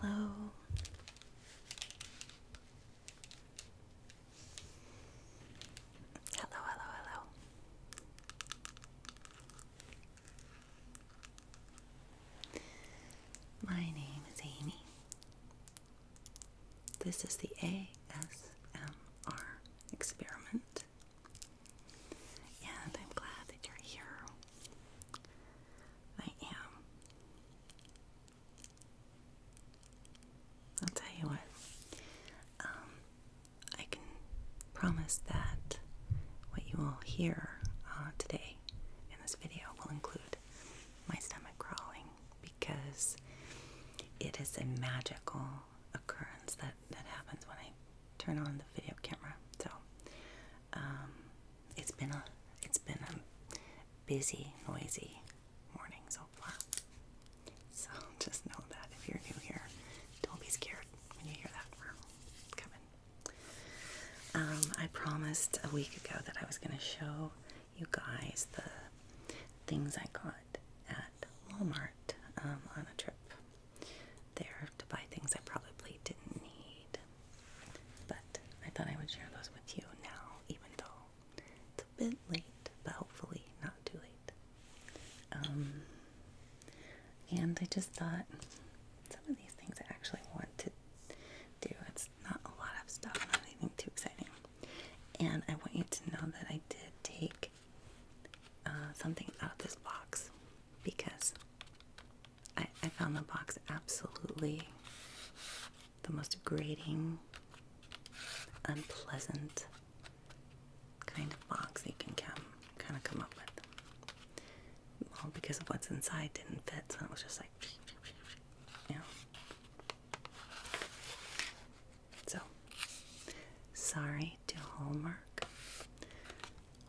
Hello. Hello, hello, hello. My name is Amy. This is the ASMR experiment. And I'm glad that you're here. I am. I'll tell you what. Um, I can promise that what you will hear uh, today in this video will include my stomach growling because it is a magical occurrence that, that happens when I turn on the video camera. So um, it's been a it's been a busy, noisy morning so far. So just know that if you're new here, don't be scared when you hear that we coming. Um, I promised a week ago that I was going to show you guys the things I got at Walmart um, on a trip there to buy things I probably didn't need. But I thought I would share those with you now, even though it's a bit late, but hopefully not too late. Um, and I just thought some of these things I actually want to do. It's not a lot of stuff, not anything too exciting. And I want you to know that I did take uh, something out of this box because I, found the box absolutely the most grating, unpleasant kind of box you can come kind of come up with. Well, because of what's inside didn't fit, so it was just like, you know. So, sorry to Hallmark.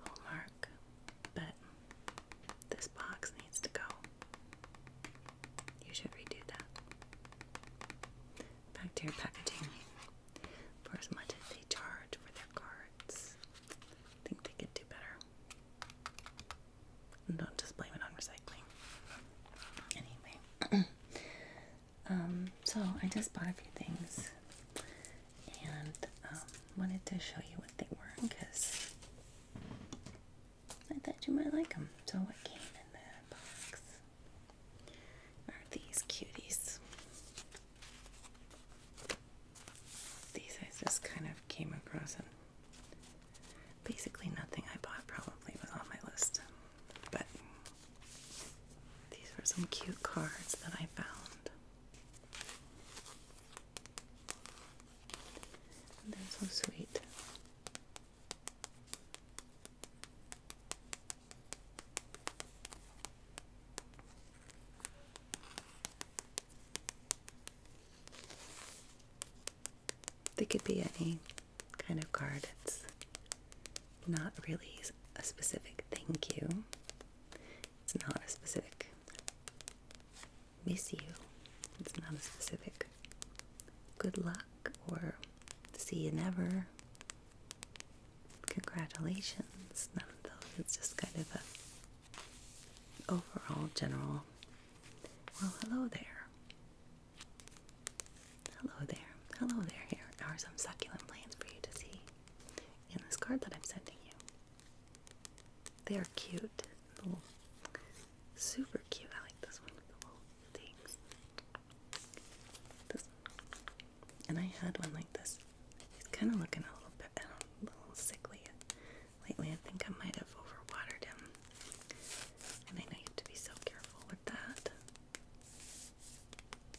Hallmark, but this box needs to go. You should redo that. Back packaging. For as much as they charge for their cards, I think they could do better. don't just blame it on recycling. Anyway, um, so I just bought a few things and um, wanted to show you what they were because I thought you might like them. So what came in the box are these cuties. These I just kind of came across and basically nothing I bought probably was on my list. But these were some cute cards that I found. That's so sweet. They could be any kind of card. It's not really a specific thank you. It's not a specific. Miss you. It's not a specific. Good luck or see you never. Congratulations. None of those. It's just kind of a overall general. Well, hello there. Hello there. Hello there. Here are some succulent plants for you to see in this card that I'm sending you. They are cute. Little, super cute. I like this one with the little things. and I had one like this. He's kind of looking a little bit, know, a little sickly lately. I think I might have overwatered him. And I know you have to be so careful with that.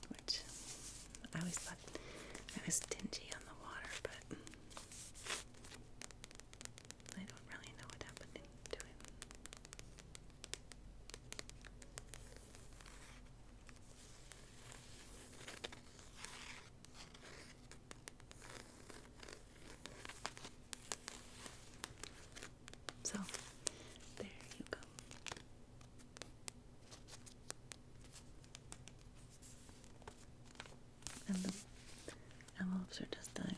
Which I always thought that. was dingy on the water, but I don't really know what happened to it. So, there you go. And the envelopes are just dying.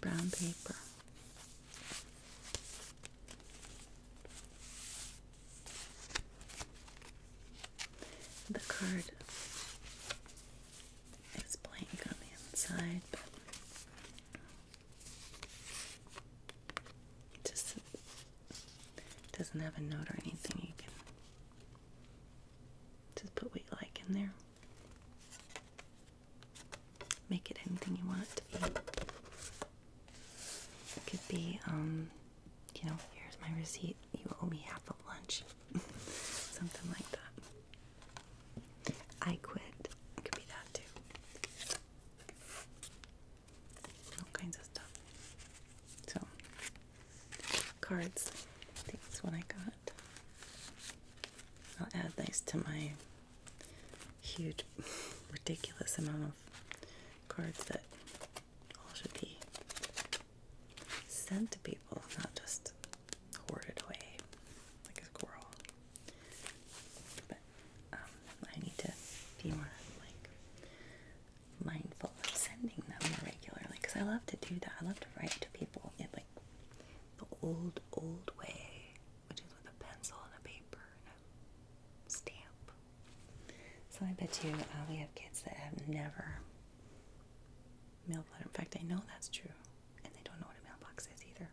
Brown paper. The card it's blank on the inside, but it just doesn't have a note or anything. You can just put what you like in there. Make it anything you want to be. It could be, um, you know, here's my receipt. You owe me half of lunch. Something like that. I quit. could be that too. All kinds of stuff. So, cards. I think that's what I got. I'll add these to my huge, ridiculous amount of cards that all should be sent to people, not just hoarded away like a squirrel. But um, I need to be more like mindful of sending them more regularly because I love to do that. I love to write to people in like the old, old way, which is with a pencil and a paper and a stamp. So I bet you uh, we have kids that have never mail letter. In fact, I know that's true, and they don't know what a mailbox is either.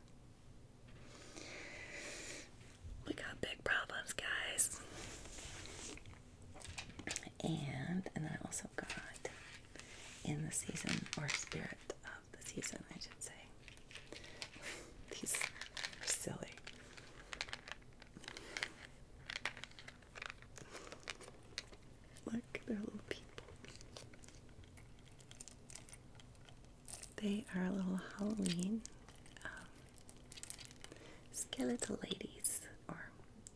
We got big problems, guys. And and I also got in the season or spirit of the season, I should say. These are silly. Look, at their little people. They are little Halloween um, skeletal ladies or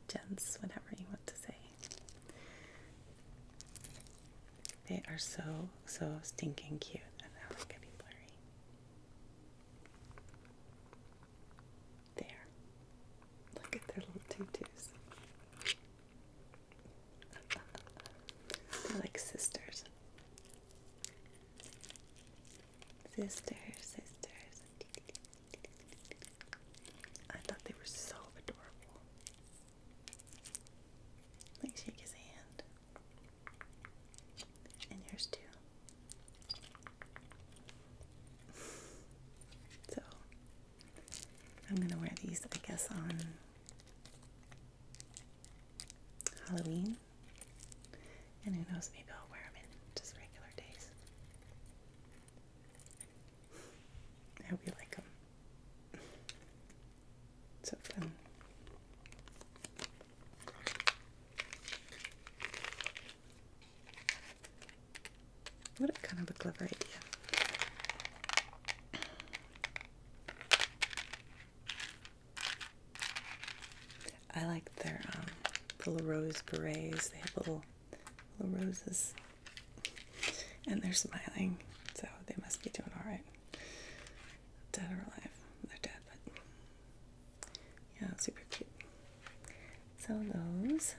gents, whatever you want to say. They are so, so stinking cute, and now getting blurry. There. Look at their little tutus. They're like sisters. Sisters, sisters. I thought they were so adorable. Like shake his hand. And yours too. So I'm going to wear these, I guess, on Halloween. And who knows, maybe I'll wear them in just regular days. I hope you like them. so fun. What a kind of a clever idea. I like their little um, rose berets. They have little, little roses. And they're smiling, so they must be doing alright. Dead or alive. They're dead, but yeah, super cute. So those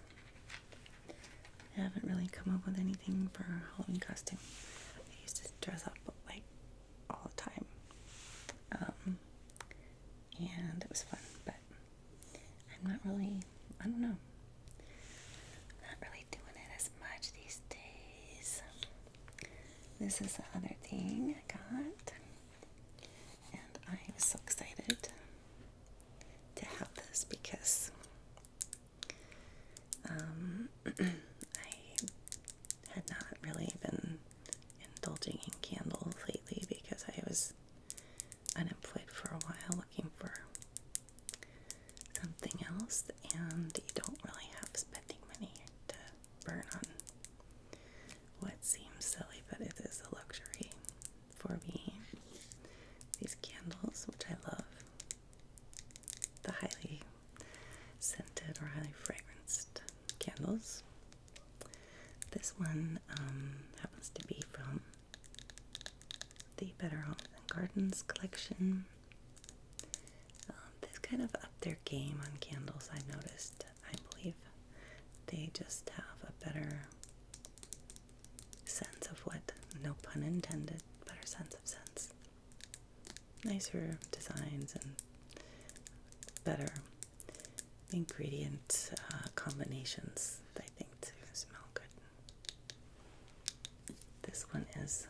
I haven't really come up with anything for Halloween costume. I used to dress up like all the time. Um, and it was fun, but I'm not really, I don't know. not really doing it as much these days. This is the other thing I got. And I am so excited to have this because um, I had not really been indulging in candles lately because I was unemployed for a while looking for something else, and you don't really have spending money to burn on what seems silly, but it is a luxury for me. These candles, which I love the highly scented or highly fragranced candles. This one um, happens to be from the Better Homes and Gardens collection. Um, this kind of upped their game on candles, I noticed. I believe they just have a better sense of what, no pun intended, better sense of sense. Nicer designs and better ingredient uh, combinations, I think, to smell good. This one is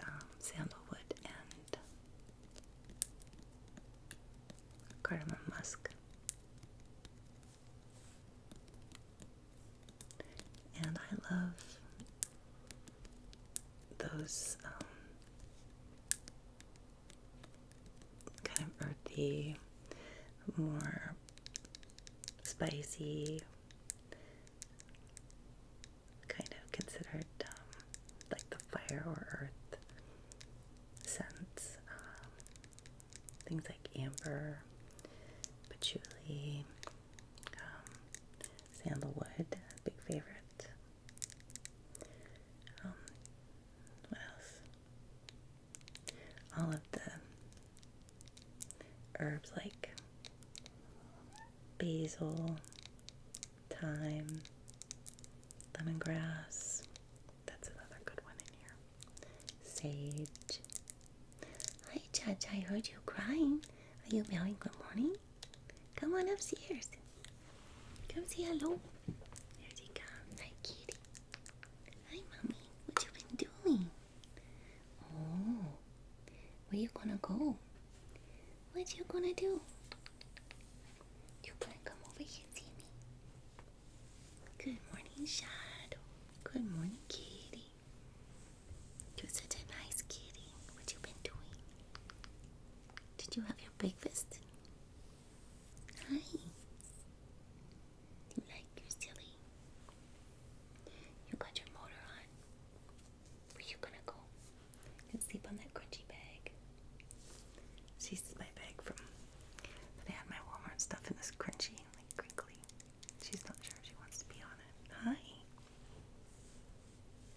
um, sandalwood and Cardamom musk and I love those um, kind of earthy, more spicy kind of considered um, like the fire or earth scents. Um, things like amber, patchouli, um, sandalwood, big favorite. what else? All of the herbs like basil, thyme, lemongrass. That's another good one in here. Sage. Hi, Judge. I heard you crying. Are you meowing good morning? Come on upstairs. Come say hello. There she comes. Hi, kitty. Hi, mommy. What you been doing? Oh, where you gonna go? What you gonna do? You better come over here and Good morning, Shadow. Good morning, kitty. You're such a nice kitty. What you been doing? Did you have your breakfast? Hi. Like you silly. You got your motor on. Where you gonna go? can sleep on that crunchy bag. So my bag from I had my Walmart stuff in this crunchy like crinkly. She's not sure if she wants to be on it. Hi.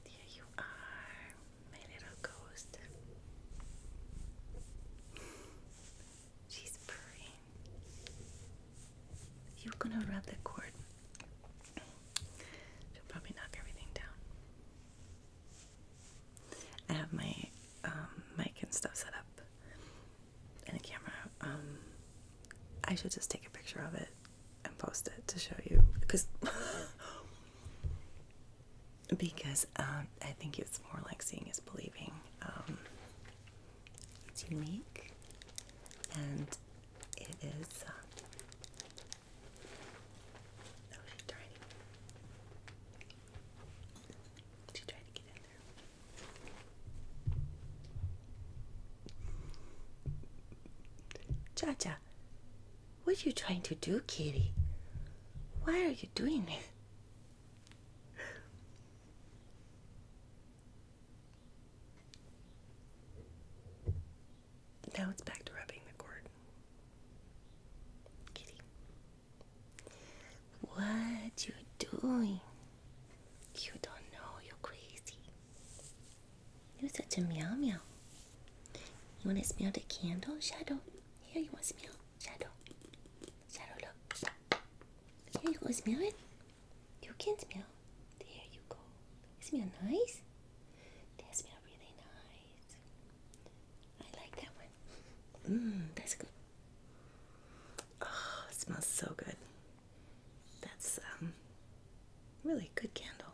There you are, my little ghost. She's purring. You're gonna rub the cord. She'll probably knock everything down. I have my um, mic and stuff set up and a camera. Um, I should just take a picture of it and post it to show you because because um, I think it's more like seeing is believing. it's unique and it is Oh, no, what are you trying to do, kitty? Why are you doing this? Now it's back to rubbing the cord. Kitty. What you doing? You don't know you're crazy. You're such a meow meow. You wanna smell the candle, Shadow? Here you wanna smell, Shadow. Shadow look. Here you go smell it. You can smell. There you go. Smell nice? They smell really nice. I like that one. Mmm, that's good. Oh, smells so good. That's um really good candle.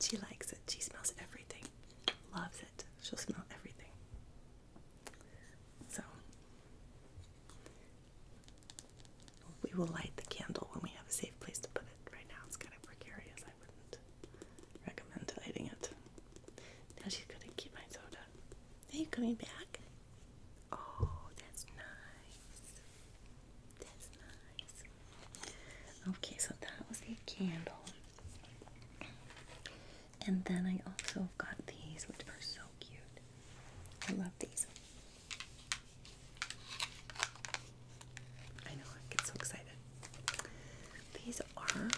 She likes it. She smells everything. Loves it. She'll smell everything. So we will light the candle when we have a safe place to put it. Right now it's kind of precarious. I wouldn't recommend lighting it. Now she's gonna keep my soda. Are you coming back? Oh, that's nice. That's nice. Okay, so that was a candle. And then I also got these, which are so cute. I love these. I know, I get so excited. These are.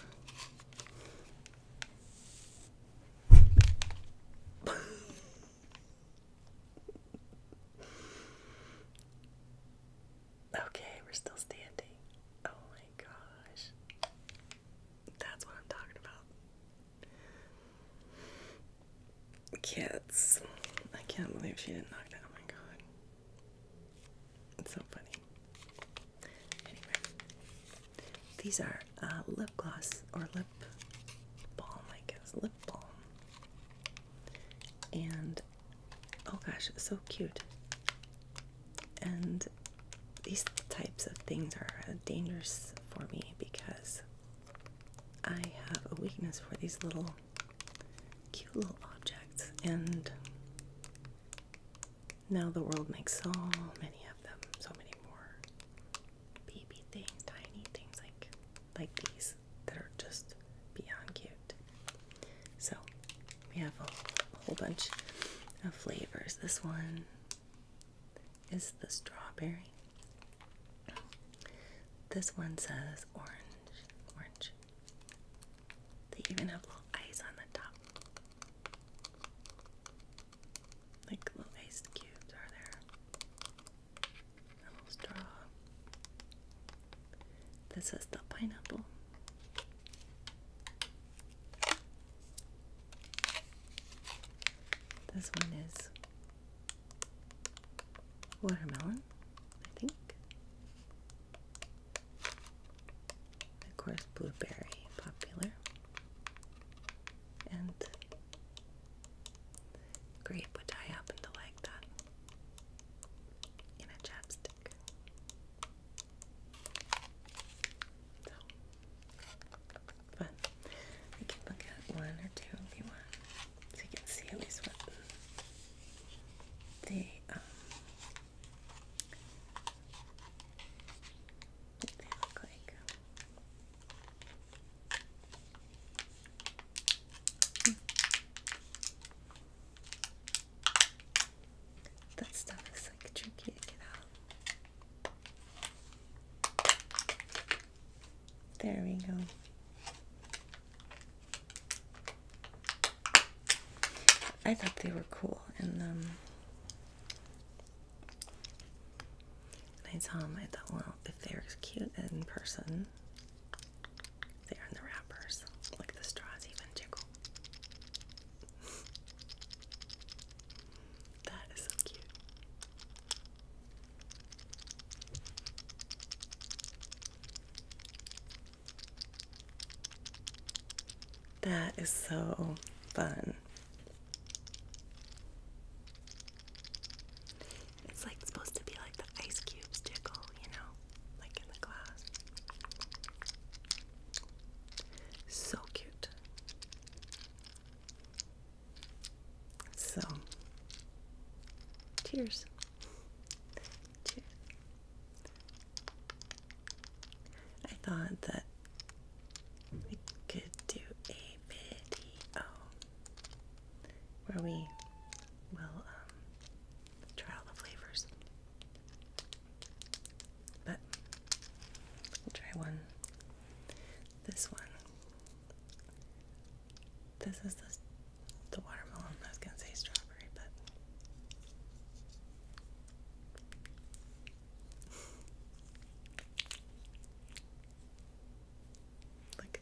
okay, we're still standing. Oh my gosh. That's what I'm talking about. Kids. I can't believe she didn't knock that. Oh my god. It's so funny. Anyway, these are uh, lip gloss or lip balm, I guess. Lip balm. And oh gosh, so cute. And these types of things are uh, dangerous for me because I have a weakness for these little cute little objects, and now the world makes so many of them, so many more baby things, tiny things like like these that are just beyond cute. So we have a whole bunch of flavors. This one is the strawberry. This one says orange, orange. They even have little eyes on the top. Like little ice cubes are there. A little straw. This is the pineapple. This one is watermelon, I think. Of course, blueberry popular. And grape, which I happen to like that in a chapstick. So fun. We can look at one or two if you want. So you can see at least what the um, what they look like. Um, that stuff is like tricky to get out. There we go. I thought they were cool, and um, I saw them. I thought, well, if they're cute in person, they are in the wrappers. Like the straws even jiggle. that is so cute. That is so fun. It's like supposed to be like the ice cubes tickle, you know, like in the glass. So cute. So, cheers. Cheers. I thought that we could do a video where we will um, try all the flavors. But we'll try one. This one. This is the the watermelon. I was gonna say strawberry, but look,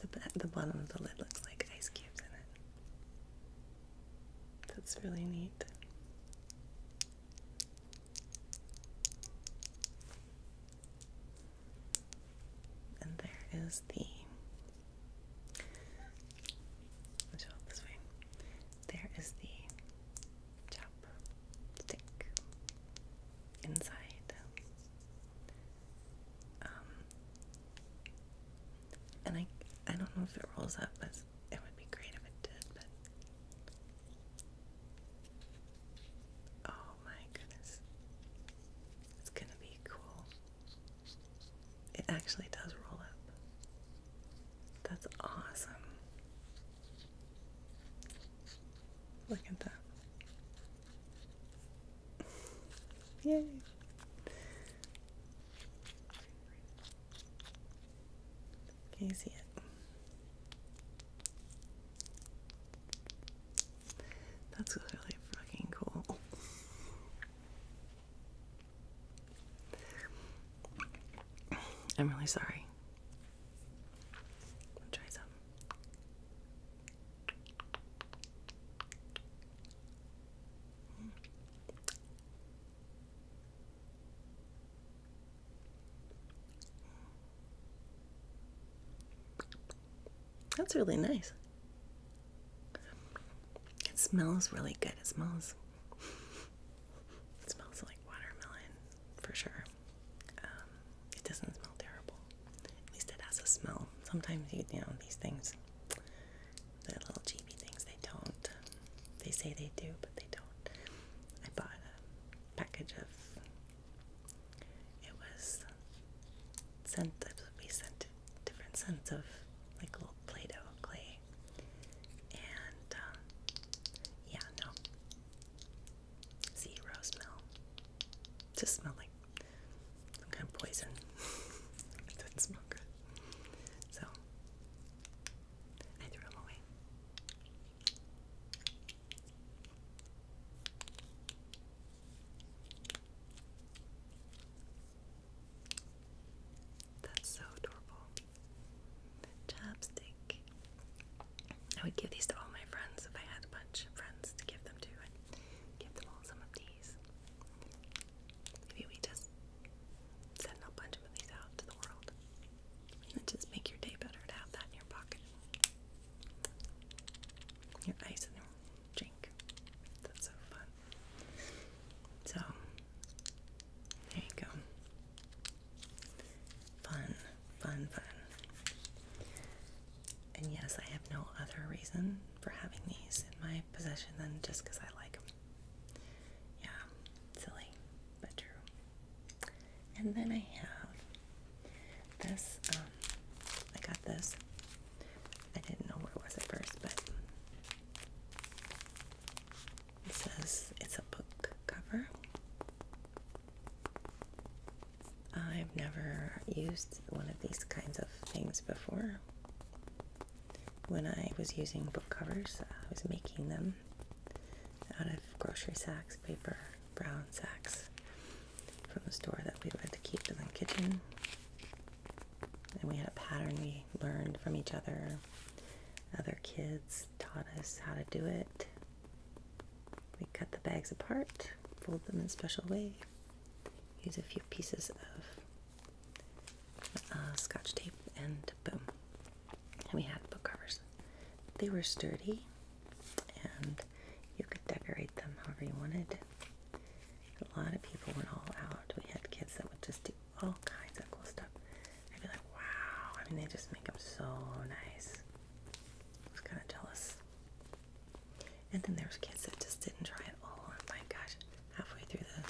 the the bottom of the lid looks like ice cubes in it. That's really neat. And there is the Let's go this way. There is the chop stick inside. Um, and I I don't know if it rolls up, it would be great if it did. oh my goodness, it's gonna be cool. It actually does roll up. That's awesome. Look at that. Yay. Can you see it? That's really fucking cool. I'm really sorry. try some. That's really nice. It smells really good. It smells. It smells like watermelon for sure. Um, it doesn't smell terrible. At least it has a smell. Sometimes you, know these things, they the little cheapy things, they don't. They say they do, but they don't. I bought a package of. It was sent. It was sent different scents of like little Play Doh clay. And um, yeah, no. Zero smell. Just smelled like some kind of poison. didn't smell good. So I threw them away. That's so adorable. Chapstick. I would give these to all my friends if I had a bunch of friends to give them to. and give them all some of these. Maybe we just send a bunch of these out to the world. it just make your day better to have that in your pocket. Your eyes in drink. That's so fun. So, there you go. Fun, fun, fun. And yes, I have no other reason for having these in my possession than just because I like them. Yeah, silly, but true. And then I have this. Um, I got this I didn't know where it was at first, but it says it's a book cover. I've never used one of these kinds of things before. When I was using book covers, I was making them out of grocery sacks, paper, brown sacks from the store that we would keep in the kitchen and we had a pattern we learned from each other. Other kids taught us how to do it. We cut the bags apart, fold them in a special way, use a few pieces of uh, scotch tape, and boom. And we had book covers. They were sturdy, and you could decorate them however you wanted. A lot of people went all out. We had kids that would just do all kinds of cool stuff. I'd be like, wow. I mean, they just make them so nice. I was kind of jealous. And then there was kids that just didn't try at all. And my gosh, halfway through the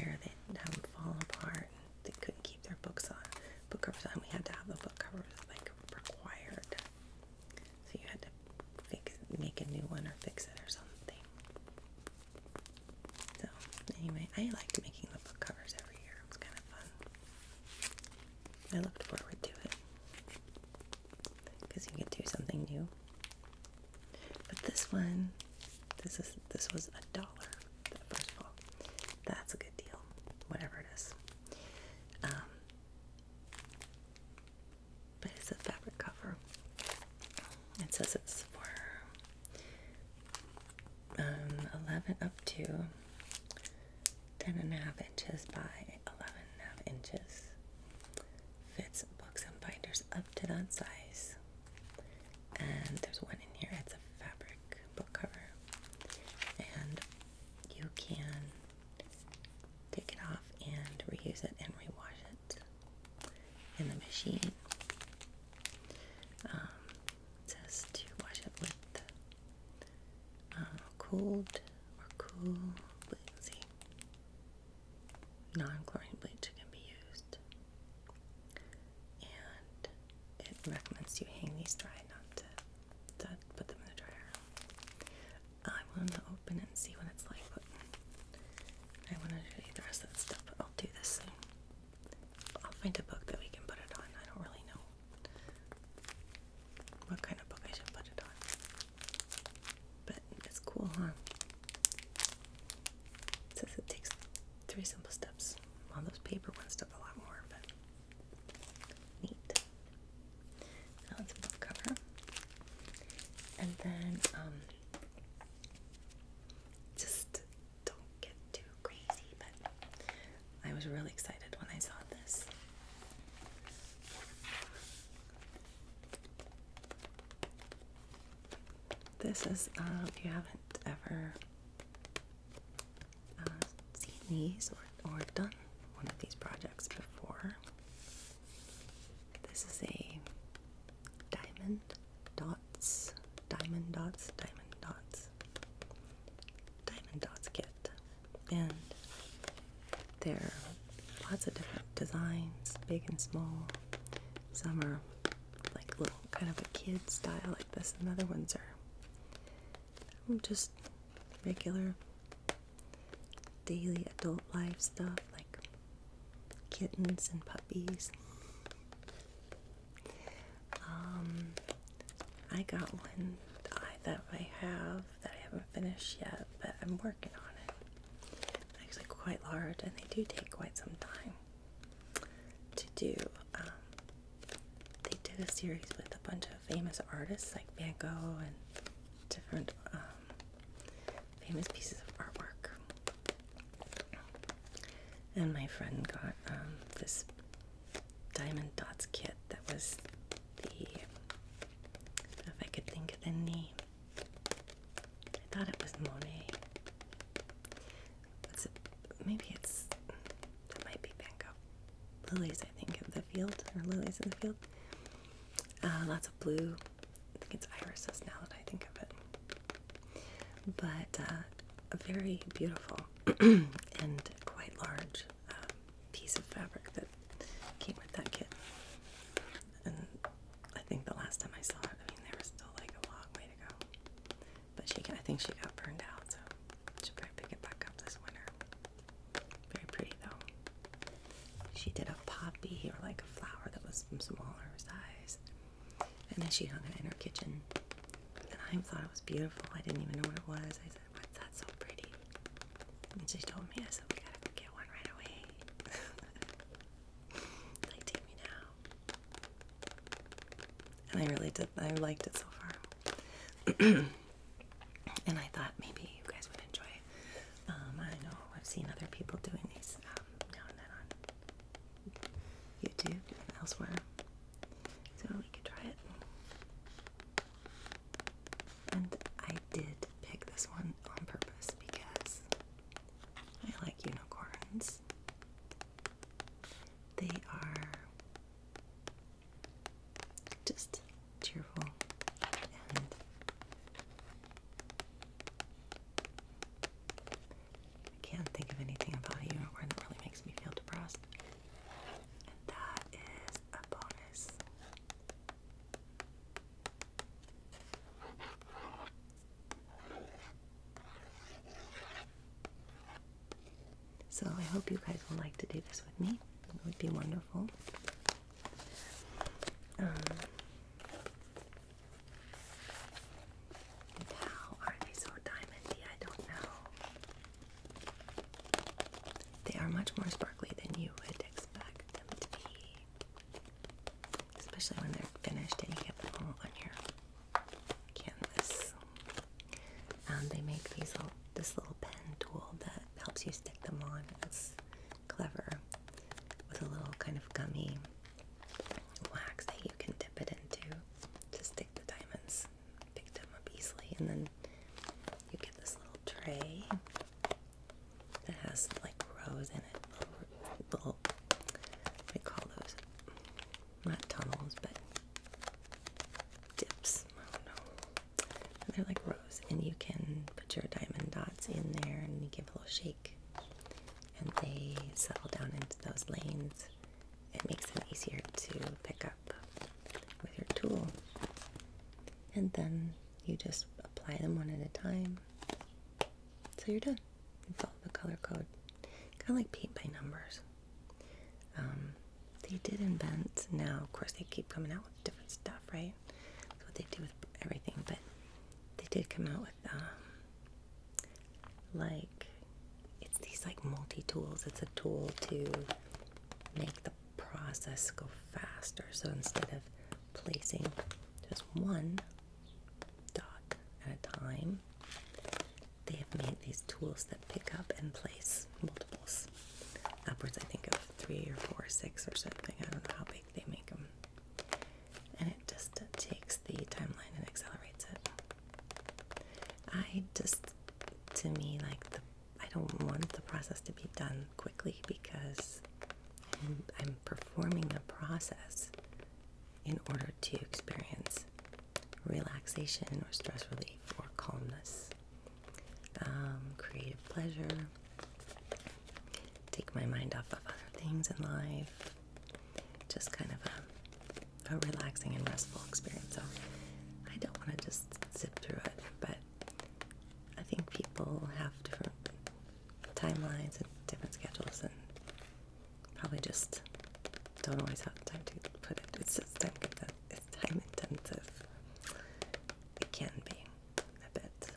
year, they'd have them fall apart. And they couldn't keep their books on. Book covers on. We had to have the book covers like required. So you had to fix, make a new one or fix it or something. So anyway, I like making the book covers every year. It was kind of fun. I looked forward to it because you could do something new. But this one, this is this was a dollar. First of all, that's a good deal. Whatever it is. Um, but it's a fabric cover. It says it's for um, 11 up to 10 and a half inches by 11 and a half inches. Fits books and binders up to that size. And there's one in here, it's a fabric book cover. And you can take it off and reuse it and rewash it in the machine. Um, says to wash it with uh, cold or cool bleach. Non-chlorine bleach can be used, and it recommends you hang these dry, not to, to put them in the dryer. I want to open it and see what it's like. I want to show the rest of the stuff. I'll do this soon. I'll find a book that we can put it on. I don't really know what kind of book I should put it on. But it's cool, huh? It says it takes three simple steps. Well, those paper ones took a lot more, but neat. Now it's a cover. And then, um, just don't get too crazy, but I was really excited when I saw this. This is, um, if you haven't ever uh, seen these or, or done one of these projects before, this is a diamond dots, diamond dots, diamond dots, diamond dots kit. And there are lots of different designs, big and small. Some are like little kind of a kid style like this, and other ones are um, just regular daily adult life stuff like kittens and puppies. Um, I got one that I have that I haven't finished yet, but I'm working on it. actually quite large, and they do take quite some time to do. Um, they did a series with a bunch of famous artists like Van Gogh and different um, famous pieces of artwork. And my friend got um, this Diamond Dots kit that was the, if I could think of the name, I thought it was Monet. maybe it's, that might be Van Gogh. Lilies, I think, of the field, or lilies in the field. Uh, lots of blue I think it's irises now that I think of it. But uh, a very beautiful and quite large um, piece of fabric that came with that kit. And I think the last time I saw it, I mean, there was still like a long way to go. But she, I think she got burned out, so she'll probably pick it back up this winter. Very pretty though. She did a poppy or like a flower that was smaller size. And then she hung it in her kitchen. And I thought it was beautiful. I didn't even know what it was. I said, What's that so pretty? And she told me, I said, We gotta go get one right away. like, take me now. And I really did, I liked it so far. and I thought maybe you guys would enjoy it. Um, I know I've seen other people doing these um, now and then on YouTube and elsewhere. So we could try it. And I did pick this one on purpose because I like unicorns. They are just cheerful I can't think of anything about a unicorn that really makes me feel depressed. And that is a bonus. So I hope you guys will like to do this with me. It would be wonderful. Um, how are they so diamondy? I don't know. They are much more sparkly than you would expect them to be. Especially when they're finished and you get them all on your canvas. Um, they make these little, this little pen tool that helps you stick them on clever with a little kind of gummy wax that you can dip it into to stick the diamonds. Picked them up easily, and then you get this little tray that has like rows in it, little, little call those? Not tunnels, but dips. And they're like rows, and you can put your diamond dots in there, and you a little shake and they settle down into those lanes. It makes them easier to pick up with your tool. And then you just apply them one at a time. So you're done. You follow the color code. Kind of like paint by numbers. Um, they did invent, now of course they keep coming out with different stuff, right? That's what they do with everything, but they did come out with with um like it's these like multi-tools. It's a tool to make the process go faster. So instead of placing just one dot at a time, they have made these tools that pick up and place multiples. Upwards, I think, of three or four or six or something. I don't know how big they make them and it just takes the timeline and accelerates it. I just, to me, like the I don't want the process to be done quickly because I'm, performing the process in order to experience relaxation or stress relief or calmness, um, creative pleasure take my mind off of other things in life. Just kind of a, relaxing and restful experience. So I don't want to just zip through it, but I think people have different timelines and different schedules, and probably just don't always have time to put it. It's just time, it's time intensive. It can be a bit.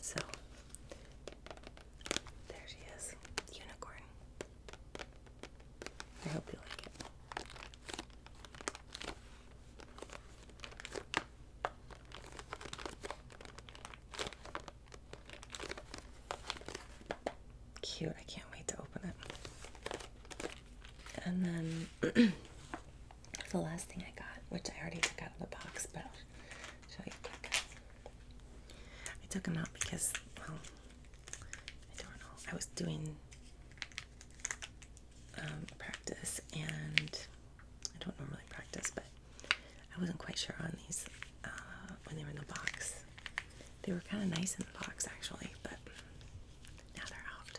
So there she is, unicorn. I hope you like it. Cute, I can't wait to open it. And then the last thing I got, which I already took out of the box, but I'll show you I took them out because, well, I don't know. I was doing um, practice, and I don't normally practice, but I wasn't quite sure on these uh, when they were in the box. They were kind of nice in the box, actually, but now they're out.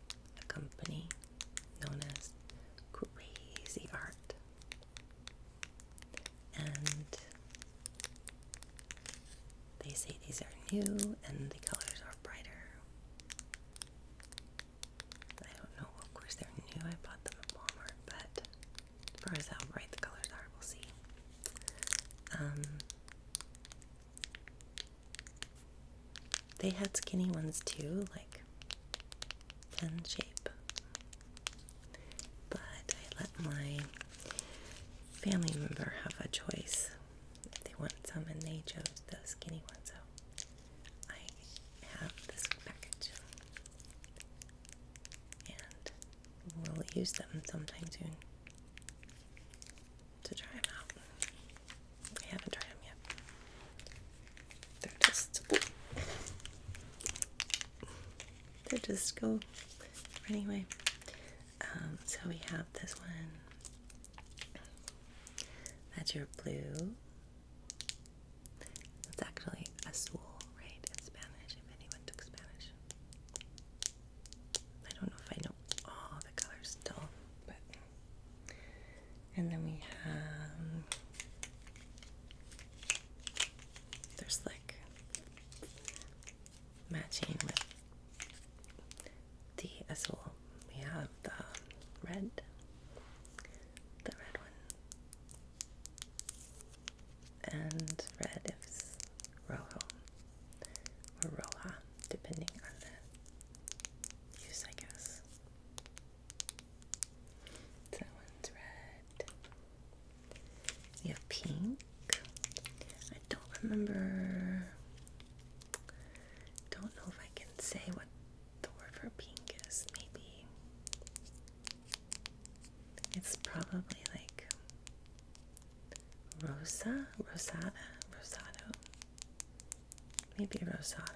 a company known as Crazy Art. And they say these are new and the colors are brighter. I don't know, of course, they're new. I bought them at Walmart, but as far as how bright the colors are, we'll see. Um, they had skinny ones too, like 10 shape. But I let my family member have a choice if they want some, and they chose the skinny ones. so I have this package. And we'll use them sometime soon to try them out. I haven't tried them yet. They're just they're just go anyway. Um, so we have this one. That's your blue. That's actually a azul, right? In Spanish, if anyone took Spanish. I don't know if I know all the colors still, but and then we have there's like matching with the azul. We have the red, the red one, and red is rojo or roja, depending on the use, I guess. that one's red. You have pink. I don't remember. Don't know if I can say what the word for pink is. Maybe it's probably like rosa, rosada, rosado. Maybe a Rosado.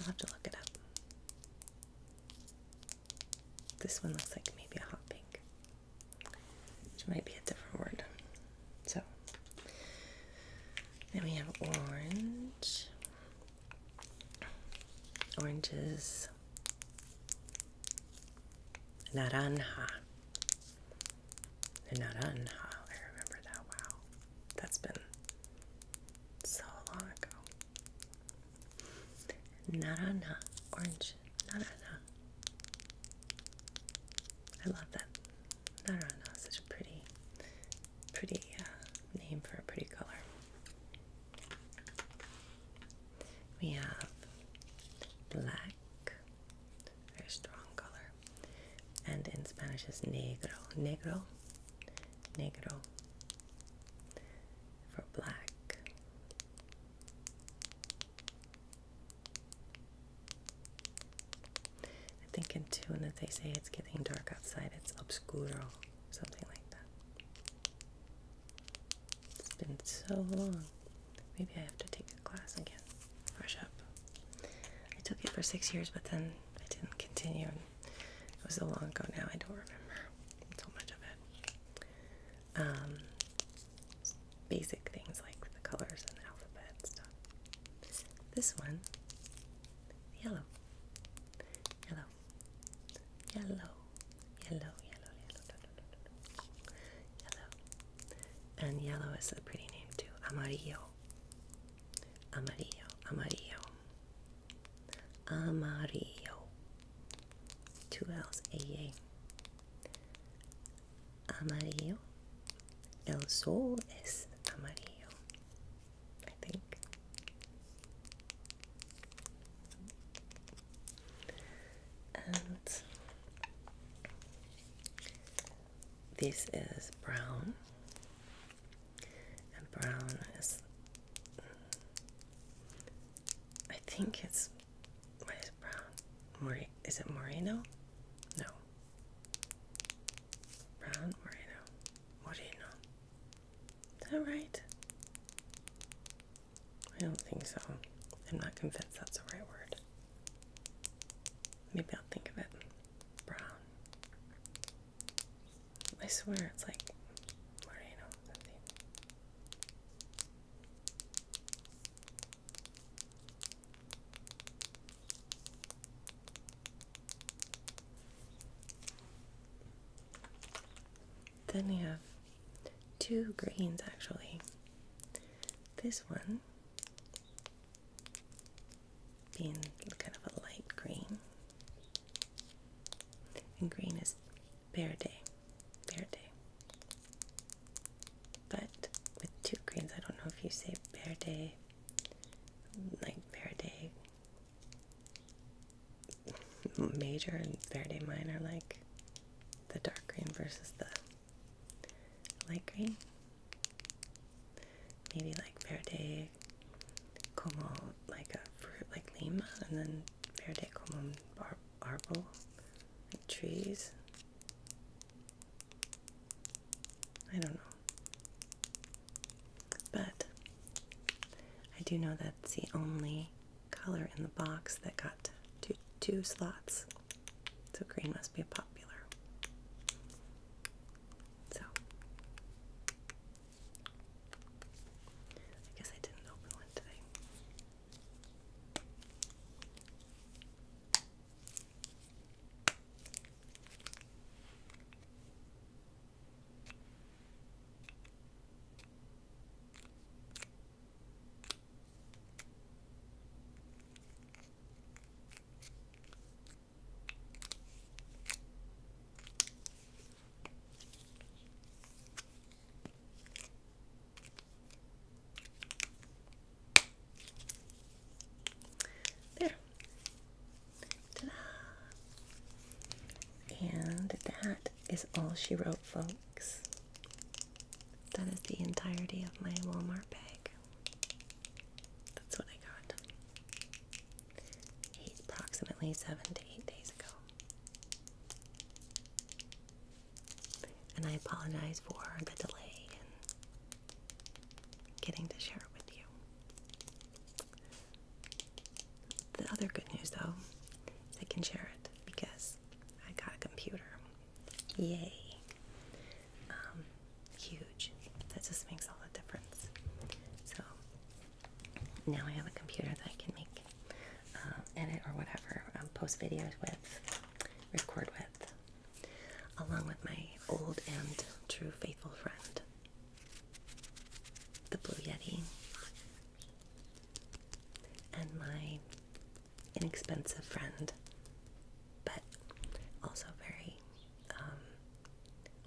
I'll have to look it up. This one looks like maybe a hot pink, which might be a different word. So, then we have orange. Oranges Naranja. Naranja. I remember that. Wow. That's been so long ago. Naranja. Orange. Naranja. I love that. Naranja. Such a pretty, pretty uh, name for a pretty color. We have black, very strong color, and in Spanish is negro. Negro, negro for black. I think in Tuna they say it's getting dark outside, it's obscuro, something like that. It's been so long. Maybe I have to take a class again. Brush up. I took it for six years, but then I didn't continue. It was so long ago now, I don't remember so much of it. Um, basic things like the colors and the alphabet stuff. This one, yellow, yellow, yellow yellow, yellow, yellow, yellow. And yellow is a pretty name too. Amarillo, amarillo, amarillo, amarillo. Two L's, A A. Amarillo. El sol es amarillo. I think and this is brown and brown is I think it's what is brown? More is it Moreno? No. Brown What do you know? Is that right? I don't think so. I'm not convinced that's the right word. Maybe I'll think of it. Brown. I swear it's like Moreno something. Then we have two greens actually. This one being kind of a light green, and green is verde, verde. But with two greens, I don't know if you say verde, like verde major and verde minor, like the dark green versus the light green. Maybe like verde como like a fruit like lima and then verde como ar like trees. I don't know. But I do know that's the only color in the box that got two, slots. So green must be popular. So I guess I didn't open one today. There. And that is all she wrote, folks. That is the entirety of my Walmart bag. That's what I got. Eight, approximately seven to eight days ago. And I apologize for the delay in getting to share it with you. The other good news, though, is I can share it because I got a computer. Yay. Um, huge. That just makes all the difference. So now I have a computer that I can make, uh, edit or whatever, um, post videos with, record with, along with my old and true faithful friend, the Blue Yeti, and my inexpensive friend, but also very um,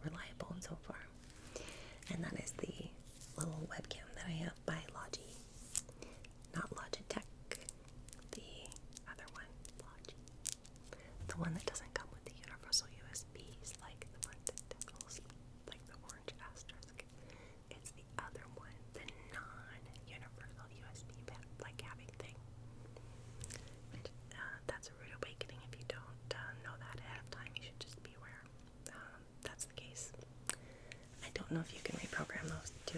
reliable and so far. And that is the little webcam that I have by Logi, not Logitech, the other one, Logi, the one that doesn't come with the universal USBs, like the one that tickles, like the orange asterisk. It's the other one, the non-universal USB like having thing. Uh, that's a rude awakening. If you don't uh, know that ahead of time, you should just be aware. Um, that's the case. I don't know if you can reprogram those to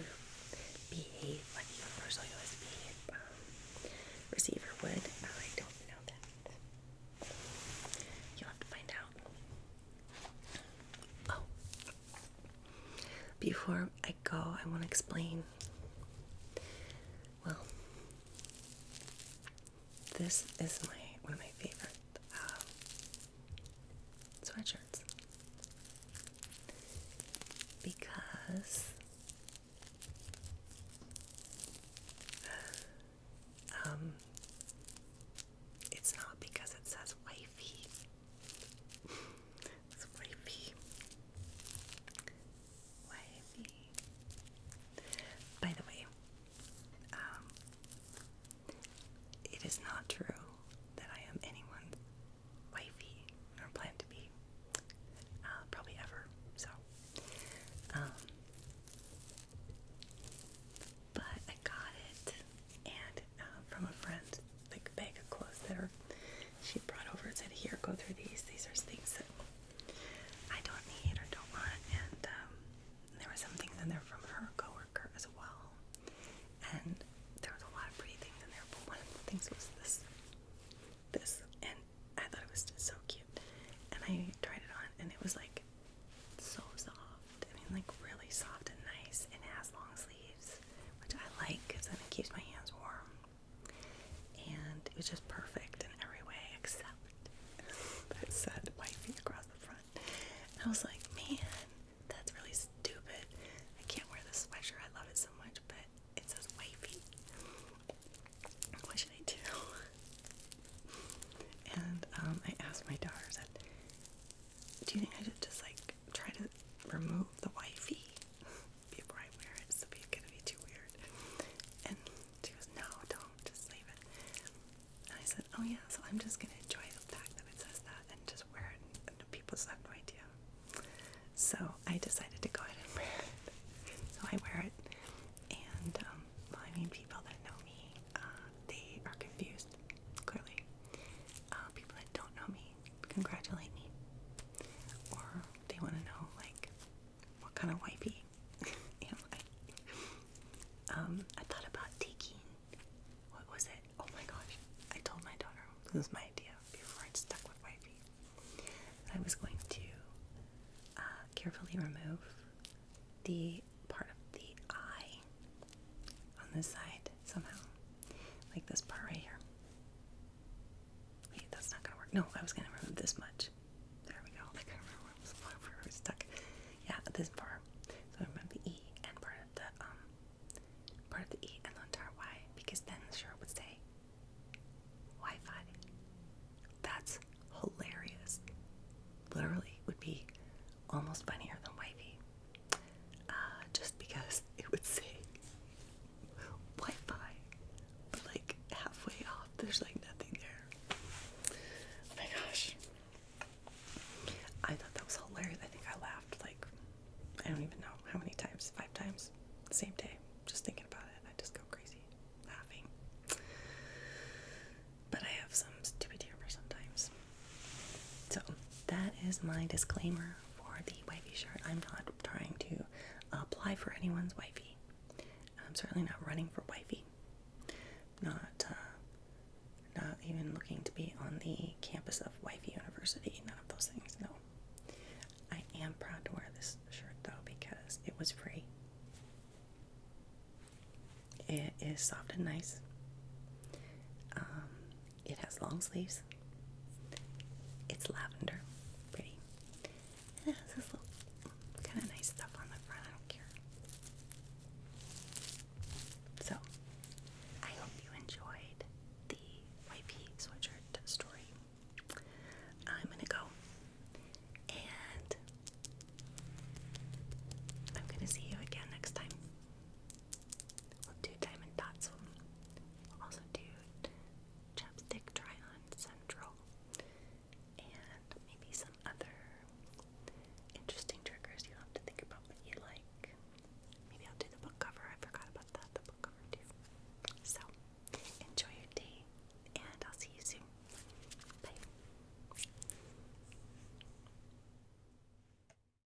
behave like a universal USB um, receiver would. I don't know that. You'll find out. Oh, before I go, I want to explain. Well, this is my one of my favorite um, sweatshirts because um, it's not because it says wifey. It's wavy. By the way, um, it is not true that I am anyone's wifey or plan to be, uh, probably ever. So, um, but I got it, and uh, from a friend, like a bag of clothes that are, she brought over and said, "Here, go through these. These are things that I don't need or don't want." And um, there were some things in there from her coworker as well, and there was a lot of pretty things in there. But one of the things was this, this, and I thought it was just so cute. And I tried it on, and it was like so soft I mean, like really soft and nice, and it has long sleeves, which I like because then it keeps my hands warm. And it was just perfect in every way except that said wifey across the front. I was like, man, that's really stupid. I can't wear this sweatshirt. I love it so much, but it says wifey. What should I do? And um, I asked my daughter, do you think I should just like try to remove the wifey before I wear it. it's gonna be too weird. And No, don't, just leave it. And I said, Oh yeah, so I'm just gonna enjoy the fact that it says that and just wear it and, and people have no idea. So I decided to go ahead and wear it. So I wear it and um well I mean people that know me, uh, they are confused, clearly. Uh, people that don't know me congratulate me. Or they want to know, like, what kind of wifey am I? Um, I thought about taking, what was it? Oh my gosh, I told my daughter, this was my idea before i stuck with wifey. I was going to uh, carefully remove the part of the eye on this side somehow. Like this part right here. Wait, that's not gonna work. No, I was gonna remove this much. There we go. I couldn't remember where it was, where stuck. Yeah, this part. So remove the E and part of the um part of the E and the entire Y because then the shirt would say Wi-Fi. That's hilarious. Literally would be almost funnier than wifey. Uh, just because it would say Wi-Fi, but like halfway off, there's like nothing there. Oh my gosh. I thought that was hilarious. I think I laughed like I don't even know how many times, five times, the same day. Just thinking about it, I just go crazy laughing. But I have some stupid humor sometimes. So that is my disclaimer for the wifey shirt. I'm not trying to apply for anyone's wifey. I'm certainly not running for wifey. Not uh, not even looking to be on the campus of wifey university. None of those things. No. I am proud to wear this shirt though because it was free. It is soft and nice. Um, it has long sleeves. It's lavender, pretty. it has this little kind of nice stuff on the front. I So, I hope you enjoyed the YP sweatshirt story. I'm gonna go and I'm gonna see you again next time. We'll do diamond dots. We'll also do chapstick try on central and maybe some other interesting triggers you'll have to think about what you like. Maybe I'll do the book cover. I forgot about that, the book cover too. So enjoy your day and I'll see you soon. Bye.